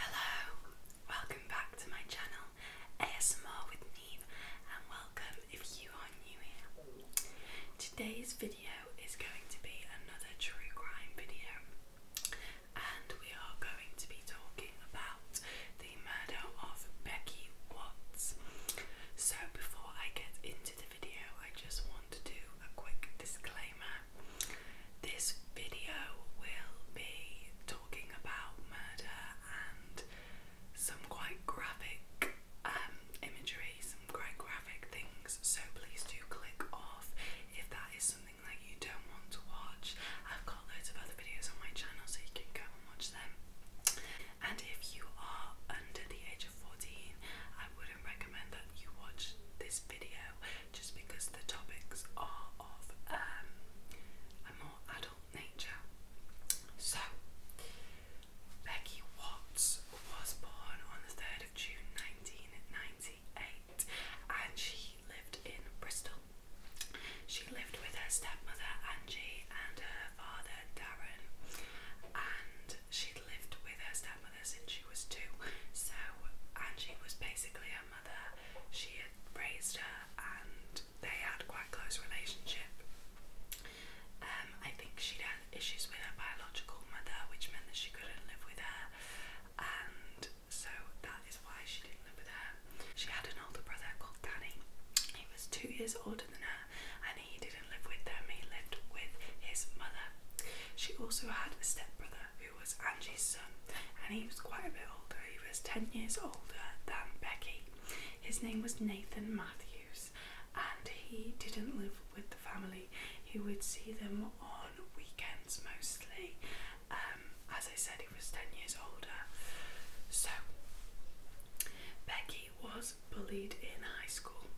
Hello, welcome back to my channel ASMR with Neve, and welcome if you are new here. Today's video is going to be another true crime video, and we are going to be talking about the murder of Becky Watts. So, before I get into the video, I just want to do a quick disclaimer this video will be talking about murder and some quite graphic um, imagery, some quite graphic things. So please do click off if that is something that you don't want to watch. I've got loads of other videos on my channel, so you can go and watch them. And if you are under the age of 14, I wouldn't recommend that you watch this video just because the topics are of um, a more adult nature. So, Becky Watts was born on the 3rd of June 1998 and she lived in Bristol. She lived with her stepmother Angie and her father Darren, and she would lived with her stepmother since she was two. So Angie was basically her mother. She raised her and they had quite a close relationship. Um, I think she'd had issues with her biological mother, which meant that she couldn't live with her, and so that is why she didn't live with her. She had an older brother called Danny. He was two years older than her, and he didn't live with them. He lived with his mother. She also had a stepbrother who he was Angie's son, and he was quite a bit older. He was 10 years older than Becky. His name was Nathan Matthews, and he didn't live with the family. He would see them on weekends mostly. Um, as I said, he was 10 years older. So, Becky was bullied in high school.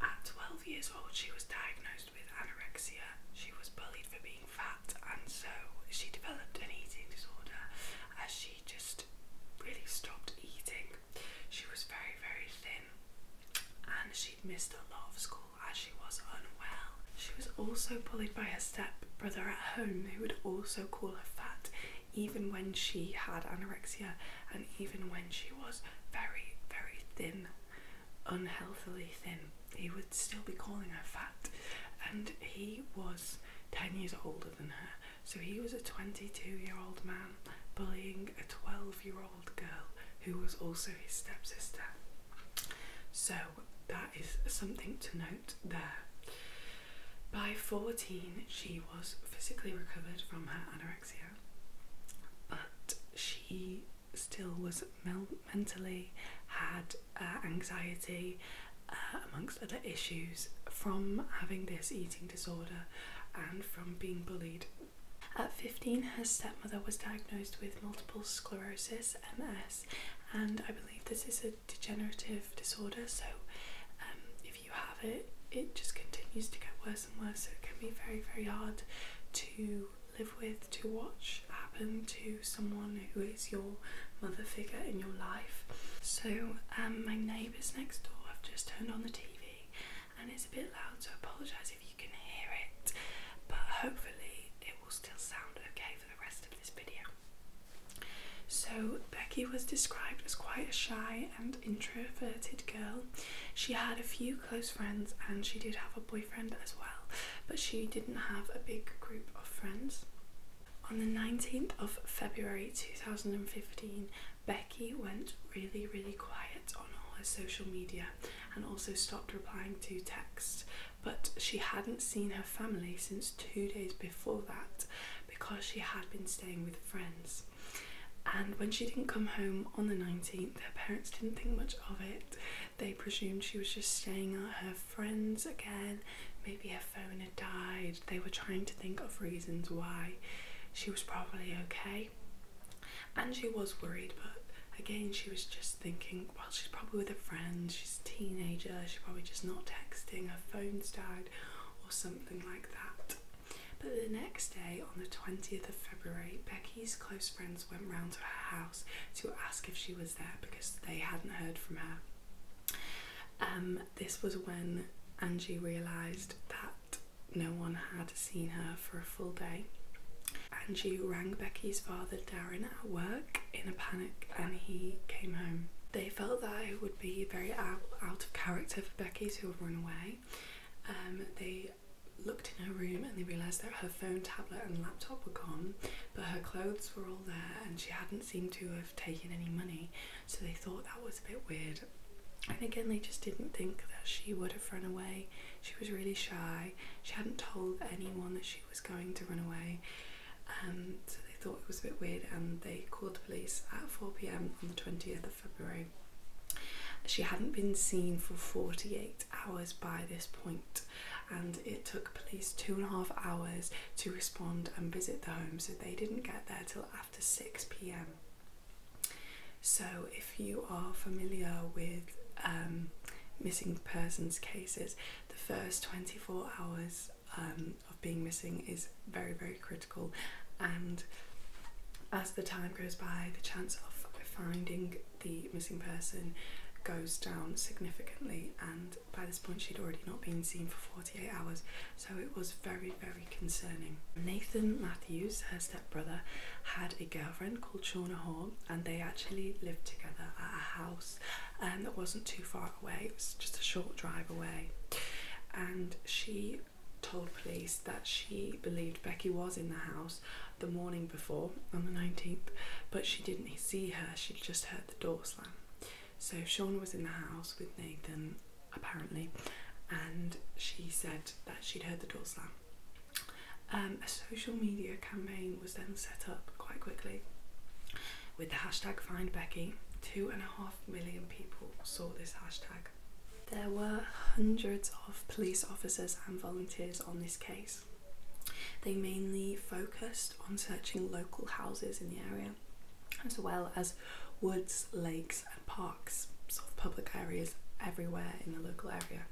At 12 years old, she was diagnosed with anorexia. She was bullied for being fat, and so she developed an eating disorder as she just really stopped eating. She was very, very thin, and she'd missed a lot of school as she was unwell. She was also bullied by her stepbrother at home, who would also call her fat, even when she had anorexia and even when she was very, very thin unhealthily thin. He would still be calling her fat, and he was 10 years older than her. So he was a 22 year old man bullying a 12 year old girl who was also his stepsister. So that is something to note there. By 14, she was physically recovered from her anorexia, but she still was mentally had uh, anxiety uh, amongst other issues from having this eating disorder and from being bullied. At 15, her stepmother was diagnosed with multiple sclerosis (MS), and I believe this is a degenerative disorder. So, um, if you have it, it just continues to get worse and worse. So it can be very, very hard to live with, to watch happen to someone who is your mother figure in your life. So, um, my neighbours next door have just turned on the TV and it's a bit loud, so I apologise if you can hear it, but hopefully it will still sound okay for the rest of this video. So, Becky was described as quite a shy and introverted girl. She had a few close friends and she did have a boyfriend as well, but she didn't have a big group of friends. On the 19th of February 2015, Becky went really, really quiet on all her social media and also stopped replying to texts. But she hadn't seen her family since two days before that because she had been staying with friends. And when she didn't come home on the 19th, her parents didn't think much of it. They presumed she was just staying at her friends again. Maybe her phone had died. They were trying to think of reasons why she was probably okay. And she was worried, but again, she was just thinking, well, she's probably with a friend. she's a teenager, she's probably just not texting, her phone's died, or something like that. But the next day, on the 20th of February, Becky's close friends went round to her house to ask if she was there because they hadn't heard from her. Um, this was when Angie realised that no one had seen her for a full day. Angie rang Becky's father Darren at work in a panic and he came home. They felt that it would be very out, of character for Becky to have run away. Um, they looked in her room and they realised that her phone, tablet, and laptop were gone, but her clothes were all there and she hadn't seemed to have taken any money, so they thought that was a bit weird. And again, they just didn't think that she would have run away. She was really shy. She hadn't told anyone that she was going to run away. and um, so they thought it was a bit weird and they called the police at 4 pm on the 20th of February. She hadn't been seen for 48 hours by this point and it took police two and a half hours to respond and visit the home so they didn't get there till after 6pm so if you are familiar with um, missing persons cases the first 24 hours um, of being missing is very very critical and as the time goes by the chance of finding the missing person goes down significantly and by this point she'd already not been seen for 48 hours, so it was very, very concerning. Nathan Matthews, her stepbrother, had a girlfriend called Shauna Hall, and they actually lived together at a house and um, that wasn't too far away, it was just a short drive away. And she told police that she believed Becky was in the house the morning before on the 19th, but she didn't see her, she just heard the door slam. So Sean was in the house with Nathan, apparently, and she said that she'd heard the door slam. Um, a social media campaign was then set up quite quickly with the hashtag Find Becky. Two and a half million people saw this hashtag. There were hundreds of police officers and volunteers on this case. They mainly focused on searching local houses in the area, as well as woods, lakes, and parks, sort of public areas everywhere in the local area.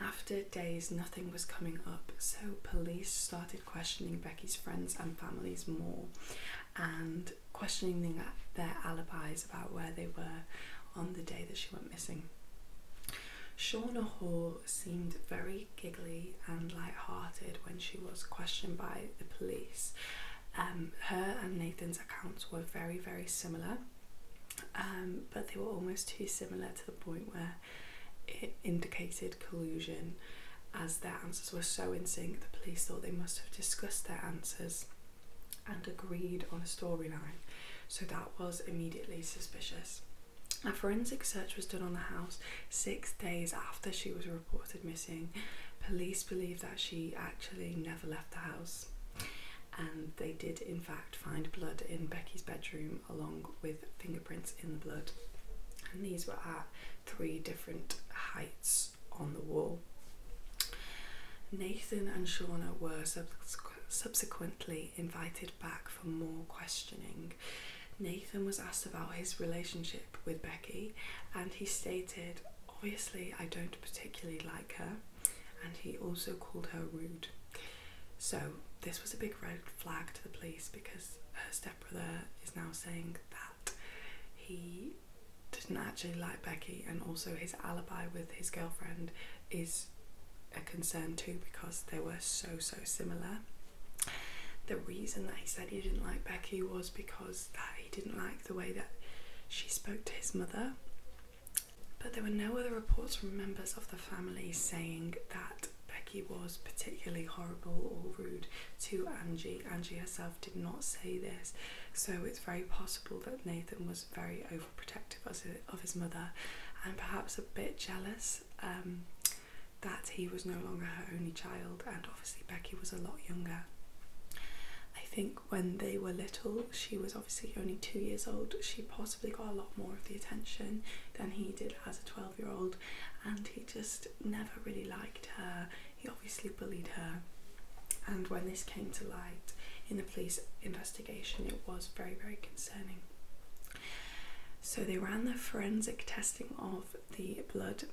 After days, nothing was coming up, so police started questioning Becky's friends and families more and questioning their alibis about where they were on the day that she went missing. Shauna Hall seemed very giggly and light-hearted when she was questioned by the police. Um, her and Nathan's accounts were very, very similar, um, but they were almost too similar to the point where it indicated collusion. As their answers were so in sync, the police thought they must have discussed their answers and agreed on a storyline, so that was immediately suspicious. A forensic search was done on the house six days after she was reported missing. Police believe that she actually never left the house, and they did, in fact, find blood in Becky's bedroom along with fingerprints in the blood. And these were at three different heights on the wall. Nathan and Shauna were subsequently invited back for more questioning Nathan was asked about his relationship with Becky, and he stated, Obviously, I don't particularly like her, and he also called her rude. So, this was a big red flag to the police because her stepbrother is now saying that he didn't actually like Becky, and also his alibi with his girlfriend is a concern too because they were so so similar. The reason that he said he didn't like Becky was because that he didn't like the way that she spoke to his mother. But there were no other reports from members of the family saying that Becky was particularly horrible or rude to Angie. Angie herself did not say this, so it's very possible that Nathan was very overprotective of his mother and perhaps a bit jealous. Um, that he was no longer her only child, and obviously Becky was a lot younger. I think when they were little, she was obviously only two years old. She possibly got a lot more of the attention than he did as a 12 year old, and he just never really liked her. He obviously bullied her. And when this came to light in the police investigation, it was very, very concerning. So they ran the forensic testing of the blood,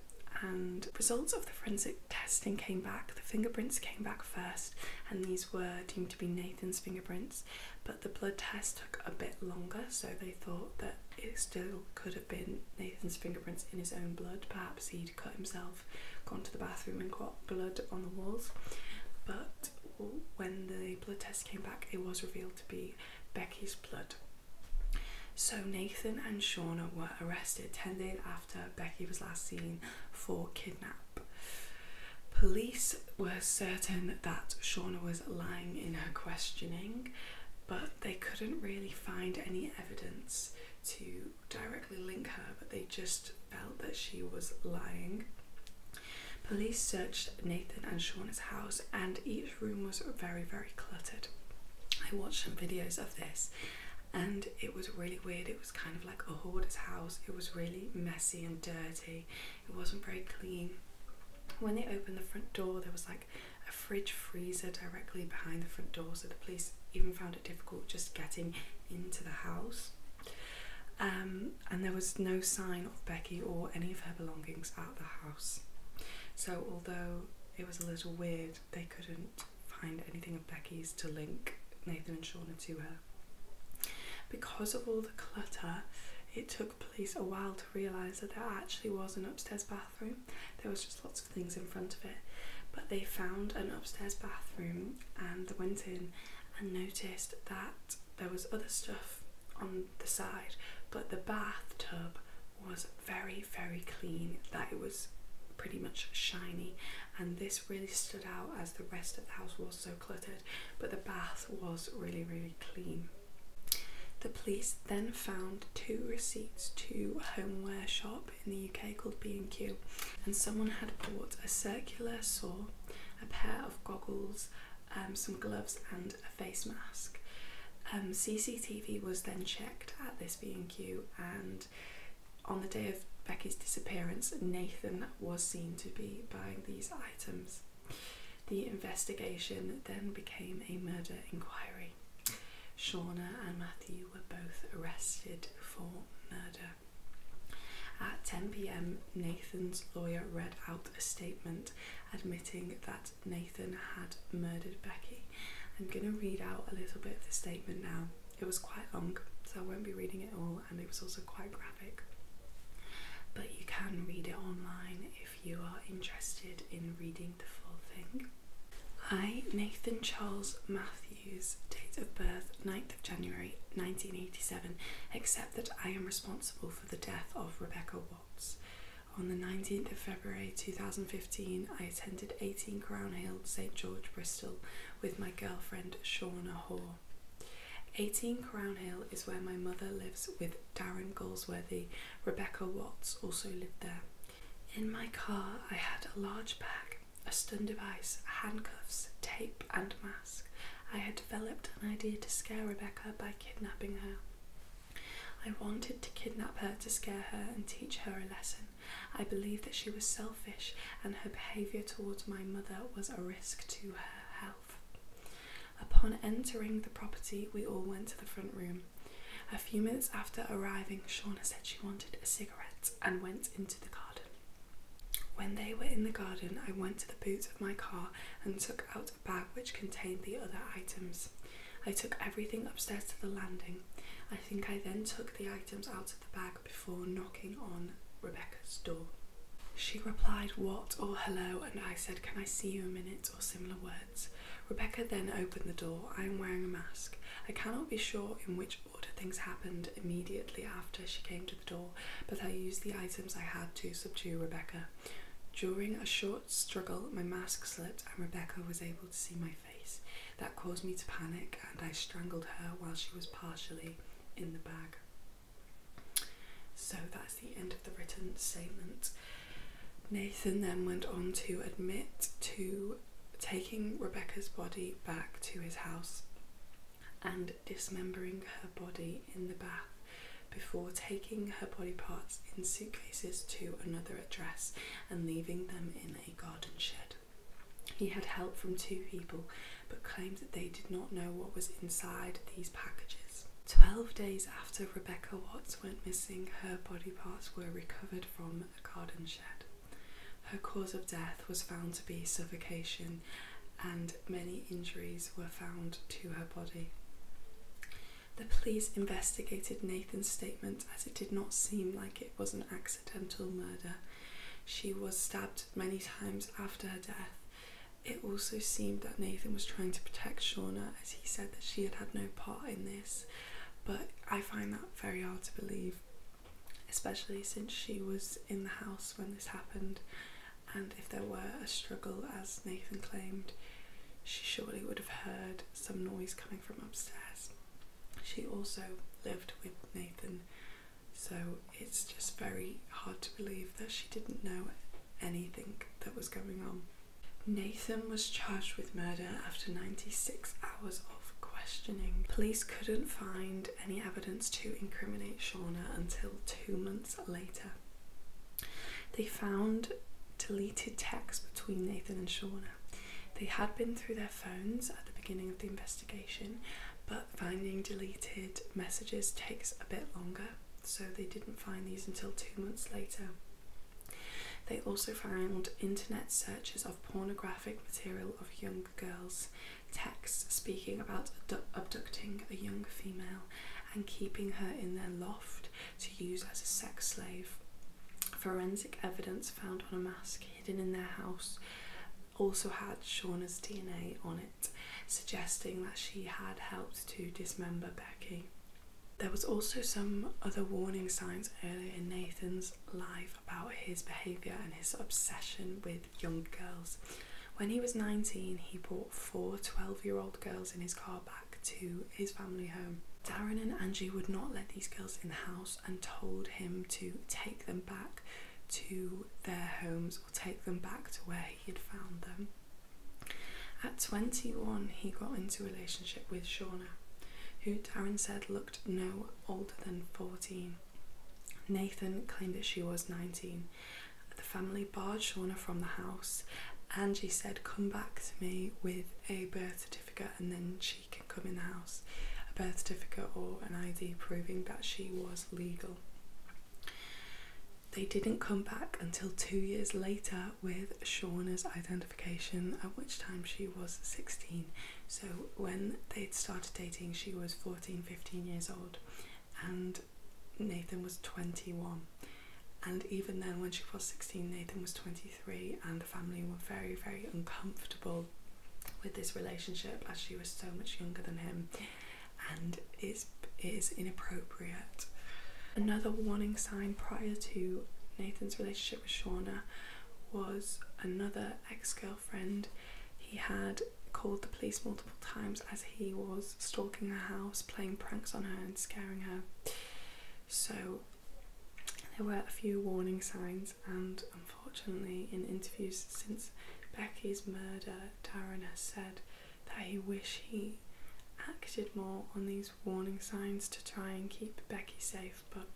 and results of the forensic testing came back. The fingerprints came back first, and these were deemed to be Nathan's fingerprints. But the blood test took a bit longer, so they thought that it still could have been Nathan's fingerprints in his own blood. Perhaps he'd cut himself, gone to the bathroom, and got blood on the walls. But when the blood test came back, it was revealed to be Becky's blood. So Nathan and Shauna were arrested 10 days after Becky was last seen for kidnap. Police were certain that Shauna was lying in her questioning, but they couldn't really find any evidence to directly link her, but they just felt that she was lying. Police searched Nathan and Shauna's house, and each room was very, very cluttered. I watched some videos of this, and it was really weird. It was kind of like a hoarder's house, it was really messy and dirty, it wasn't very clean. When they opened the front door, there was like a fridge freezer directly behind the front door, so the police even found it difficult just getting into the house. Um, and there was no sign of Becky or any of her belongings at the house house. So, although it was a little weird, they couldn't find anything of Becky's to link Nathan and Shauna to her. Because of all the clutter, it took police a while to realise that there actually was an upstairs bathroom. There was just lots of things in front of it. But they found an upstairs bathroom and they went in and noticed that there was other stuff on the side, but the bathtub was very, very clean, that it was pretty much shiny, and this really stood out as the rest of the house was so cluttered, but the bath was really, really clean. The police then found two receipts to a homeware shop in the UK called B&Q and someone had bought a circular saw, a pair of goggles, um, some gloves and face mask. Um, CCTV was then checked at this B&Q and on the day of Becky's disappearance, Nathan was seen to be buying these items. The investigation then became a murder inquiry. Shauna and Matthew were both arrested for murder. At 10 pm, Nathan's lawyer read out a statement admitting that Nathan had murdered Becky. I'm going to read out a little bit of the statement now. It was quite long, so I won't be reading it all, and it was also quite graphic. But you can read it online if you are interested in reading the full thing. I, Nathan Charles Matthews, date of birth 9th of January 1987, accept that I am responsible for the death of Rebecca on the 19th of February 2015, I attended 18 Crown Hill, St George, Bristol with my girlfriend Shauna Hoare. 18 Crown Hill is where my mother lives with Darren Galsworthy. Rebecca Watts also lived there. In my car, I had a large bag, a stun device, handcuffs, tape, and mask. I had developed an idea to scare Rebecca by kidnapping her. I wanted to kidnap her to scare her and teach her a lesson. I believed that she was selfish and her behaviour towards my mother was a risk to her health. Upon entering the property, we all went to the front room. A few minutes after arriving, Shauna said she wanted a cigarette and went into the garden. When they were in the garden, I went to the boot of my car and took out bag which contained the other items. I took everything upstairs to the landing. I think I then took the items out of the bag before knocking on Rebecca's door. She replied, What or oh, hello, and I said, Can I see you a minute or similar words. Rebecca then opened the door. I am wearing a mask. I cannot be sure in which order things happened immediately after she came to the door, but I used the items I had to subdue Rebecca. During a short struggle, my mask slipped, and Rebecca was able to see my face. That caused me to panic, and I strangled her while she was partially in the bag. So that's the end of the written statement. Nathan then went on to admit to taking Rebecca's body back to his house and dismembering her body in the bath before taking her body parts in suitcases to another address and leaving them in a garden shed. He had help from two people but claimed that they did not know what was inside these packages. Twelve days after Rebecca Watts went missing, her body parts were recovered from a garden shed. Her cause of death was found to be suffocation, and many injuries were found to her body. The police investigated Nathan's statement as it did not seem like it was an accidental murder. She was stabbed many times after her death. It also seemed that Nathan was trying to protect Shauna as he said that she had had no part in this, but I find that very hard to believe, especially since she was in the house when this happened and if there were a struggle, as Nathan claimed, she surely would have heard some noise coming from upstairs. She also lived with Nathan, so it's just very hard to believe that she didn't know anything that was going on. Nathan was charged with murder after 96 hours of questioning. Police couldn't find any evidence to incriminate Shauna until two months later. They found deleted texts between Nathan and Shauna. They had been through their phones at the beginning of the investigation, but finding deleted messages takes a bit longer, so they didn't find these until two months later. They also found internet searches of pornographic material of young girls, texts speaking about abducting a young female and keeping her in their loft to use as a sex slave. Forensic evidence found on a mask hidden in their house also had Shauna's DNA on it, suggesting that she had helped to dismember Becky. There was also some other warning signs earlier in Nathan's life about his behaviour and his obsession with young girls. When he was 19, he bought four 12 year old girls in his car to his family home. Darren and Angie would not let these girls in the house and told him to take them back to their homes or take them back to where he had found them. At 21, he got into a relationship with Shauna, who Darren said looked no older than 14. Nathan claimed that she was 19 the family barred Shauna from the house. and she said, Come back to me with a birth certificate and then she can come in the house. A birth certificate or an ID proving that she was legal. They didn't come back until two years later with Shauna's identification, at which time she was 16. So when they'd started dating, she was 14, 15 years old. And Nathan was 21. And even then, when she was 16, Nathan was 23, and the family were very, very uncomfortable with this relationship as she was so much younger than him, and it's, it is inappropriate. Another warning sign prior to Nathan's relationship with Shauna was another ex girlfriend he had called the police multiple times as he was stalking her house, playing pranks on her, and scaring her. So there were a few warning signs, and unfortunately, in interviews since Becky's murder, Darren has said that he wished he acted more on these warning signs to try and keep Becky safe, but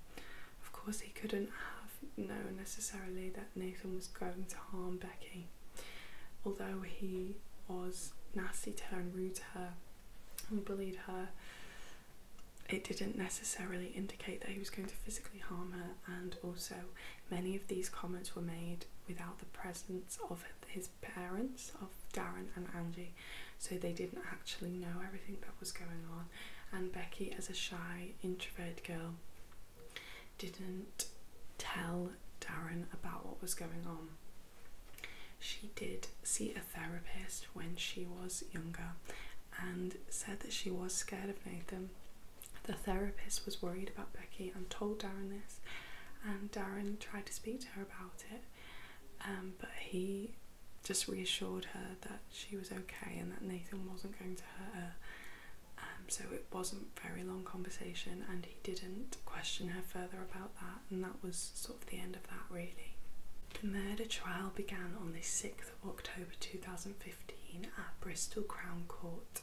of course, he couldn't have known necessarily that Nathan was going to harm Becky. Although he was nasty to her and rude her and bullied her, it didn't necessarily indicate that he was going to physically harm her, and also many of these comments were made without the presence of his parents, of Darren and Angie, so they didn't actually know everything that was going on. And Becky, as a shy, introvert girl, didn't tell Darren about what was going on. She did see a therapist when she was younger and said that she was scared of Nathan. The therapist was worried about Becky and told Darren this, and Darren tried to speak to her about it, um, but he just reassured her that she was okay and that Nathan wasn't going to hurt her. Um, so it wasn't very long conversation, and he didn't question her further about that and that was sort of the end of that, really. The murder trial began on the 6th of October 2015 at Bristol Crown Court.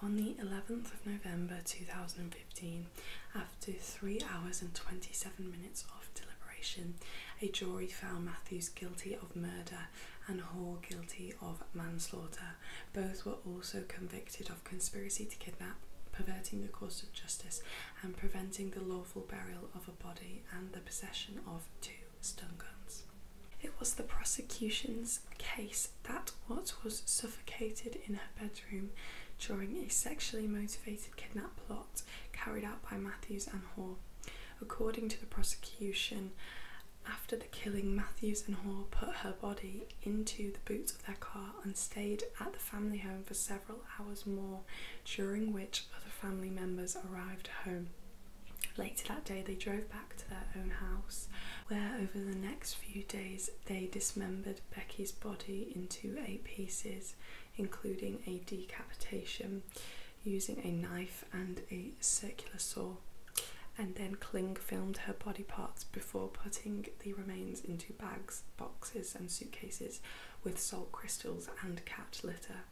On the 11th of November 2015, after 3 hours and 27 minutes of deliberation, a jury found Matthews guilty of murder and Hall guilty of manslaughter. Both were also convicted of conspiracy to kidnap, perverting the course of justice, and preventing the lawful burial of a body and the possession of two stun guns. It was the prosecution's case that Watt was suffocated in her bedroom during a sexually motivated kidnap plot carried out by Matthews and Hoare. According to the prosecution, after the killing, Matthews and Hoare put her body into the boots of their car and stayed at the family home for several hours more, during which other family members arrived home. Later that day, they drove back to their own house, where over the next few days they dismembered Becky's body into eight pieces, including a decapitation using a knife and a circular saw. And then Kling filmed her body parts before putting the remains into bags boxes, and suitcases with salt crystals and cat litter.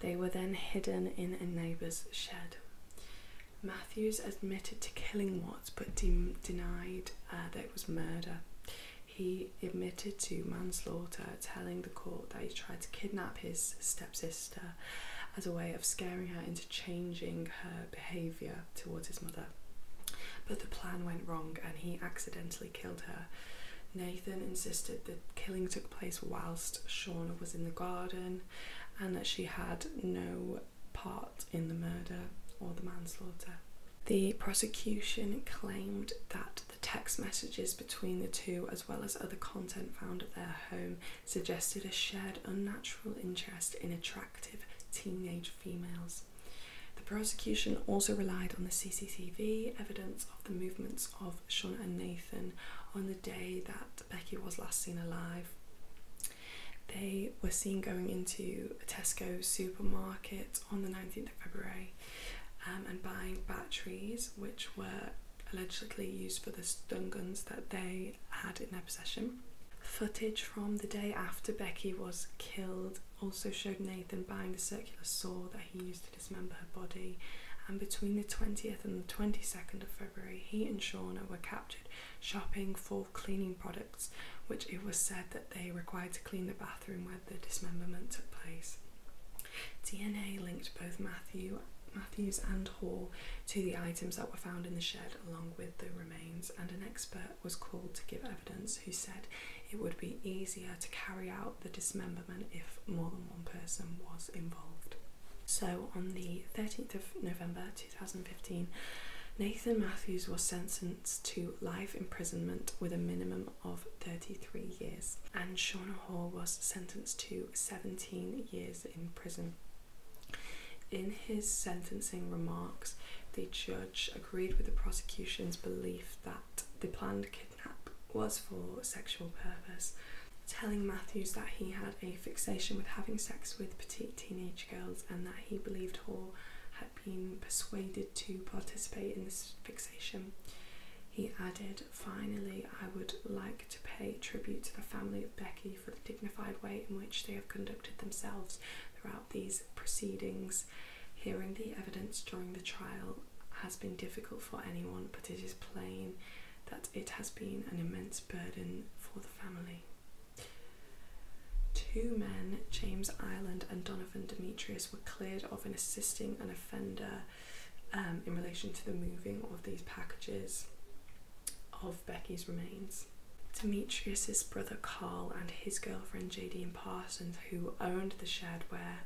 They were then hidden in a neighbour's shed. Matthews admitted to killing Watts but denied uh, that it was murder. He admitted to manslaughter, telling the court that he tried to kidnap his stepsister as a way of scaring her into changing her behaviour towards his mother. But the plan went wrong and he accidentally killed her. Nathan insisted that killing took place whilst Shauna was in the garden and that she had no part in the murder or the manslaughter. The prosecution claimed that the text messages between the two, as well as other content found at their home, suggested a shared unnatural interest in a teenage females. The prosecution also relied on the CCTV evidence of the movements of Sean and Nathan on the day that Becky was last seen alive. They were seen going into a Tesco supermarket on the 19th of February um, and buying batteries which were allegedly used for the stun guns that they had in an Footage from the day after Becky was killed also showed Nathan buying the circular saw that he used to dismember her body. And between the 20th and the 22nd of February, he and Shauna were captured shopping for cleaning products, which it was said that they required to clean the bathroom where the dismemberment took place. DNA linked both Matthews and Hall to the items that were found in the shed along with the remains and an expert was called to give evidence who said it would be easier to carry out the dismemberment if more than one person was involved. So, on the 13th of November 2015, Nathan Matthews was sentenced to life imprisonment with a minimum of 33 years, and Shauna Hall was sentenced to 17 years in prison. In his sentencing remarks, the judge agreed with the prosecution's belief that the planned kidnapping was for sexual purpose, telling Matthews that he had a fixation with having sex with petite teenage girls and that he believed Hall had been persuaded to participate in this fixation. He added, Finally, I would like to pay tribute to the family of Becky for the dignified way in which they have conducted themselves throughout." these proceedings. Hearing the evidence during the trial has been difficult for anyone, but it is plain that it has been an immense burden for the family. Two men, James Ireland and Donovan Demetrius, were cleared of an assisting an offender um, in relation to the moving of these packages of Becky's remains. Demetrius's brother Carl and his girlfriend and Parsons, who owned the shed where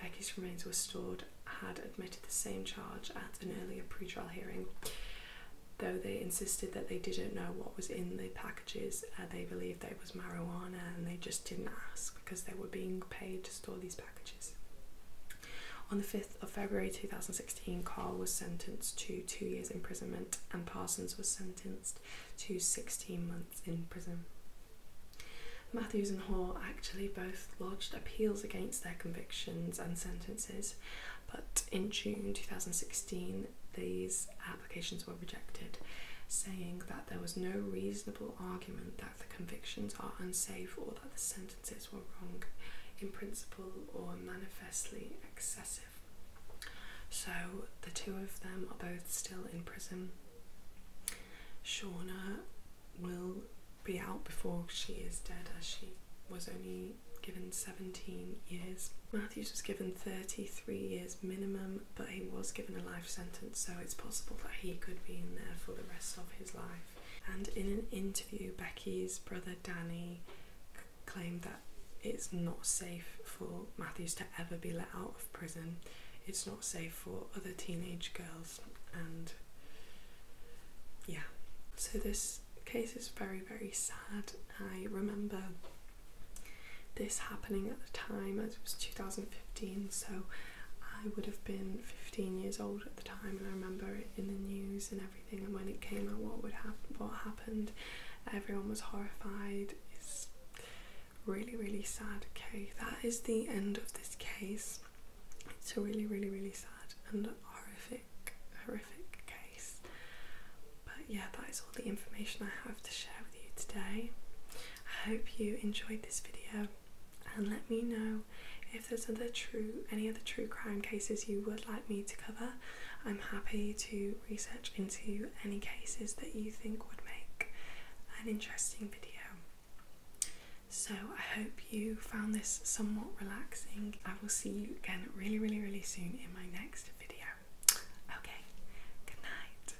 Becky's remains were stored, had admitted the same charge at an earlier pre-trial hearing. Though they insisted that they didn't know what was in the packages, uh, they believed that it was marijuana and they just didn't ask because they were being paid to store these packages. On the 5th of February 2016, Carl was sentenced to two years imprisonment and Parsons was sentenced to 16 months in prison. Matthews and Hall actually both lodged appeals against their convictions and sentences, but in June 2016, these applications were rejected, saying that there was no reasonable argument that the convictions are unsafe or that the sentences were wrong in principle or manifestly excessive. So the two of them are both still in prison. Shauna will be out before she is dead, as she was only given 17 years. Matthews was given 33 years minimum, but he was given a life sentence, so it's possible that he could be in there for the rest of his life. And in an interview, Becky's brother Danny Claim that it's not safe for Matthews to ever be let out of prison. It's not safe for other teenage girls, and yeah. So, this case is very, very sad. I remember this happening at the time, as it was 2015, so I would have been 15 years old at the time, and I remember it in the news and everything, and when it came out, what would happen, what happened happened. Everyone was horrified. It's really, really sad. Okay, that is the end of this case. It's a really, really, really sad and horrific, horrific case. But yeah, that is all the information I have to share with you today. I hope you enjoyed this video and let me know if there's other true any other true crime cases you would like me to cover. I'm happy to research into any cases that you think would make an interesting video. So, I hope you found this somewhat relaxing. I will see you again really, really, really soon in my next video. Okay, good night.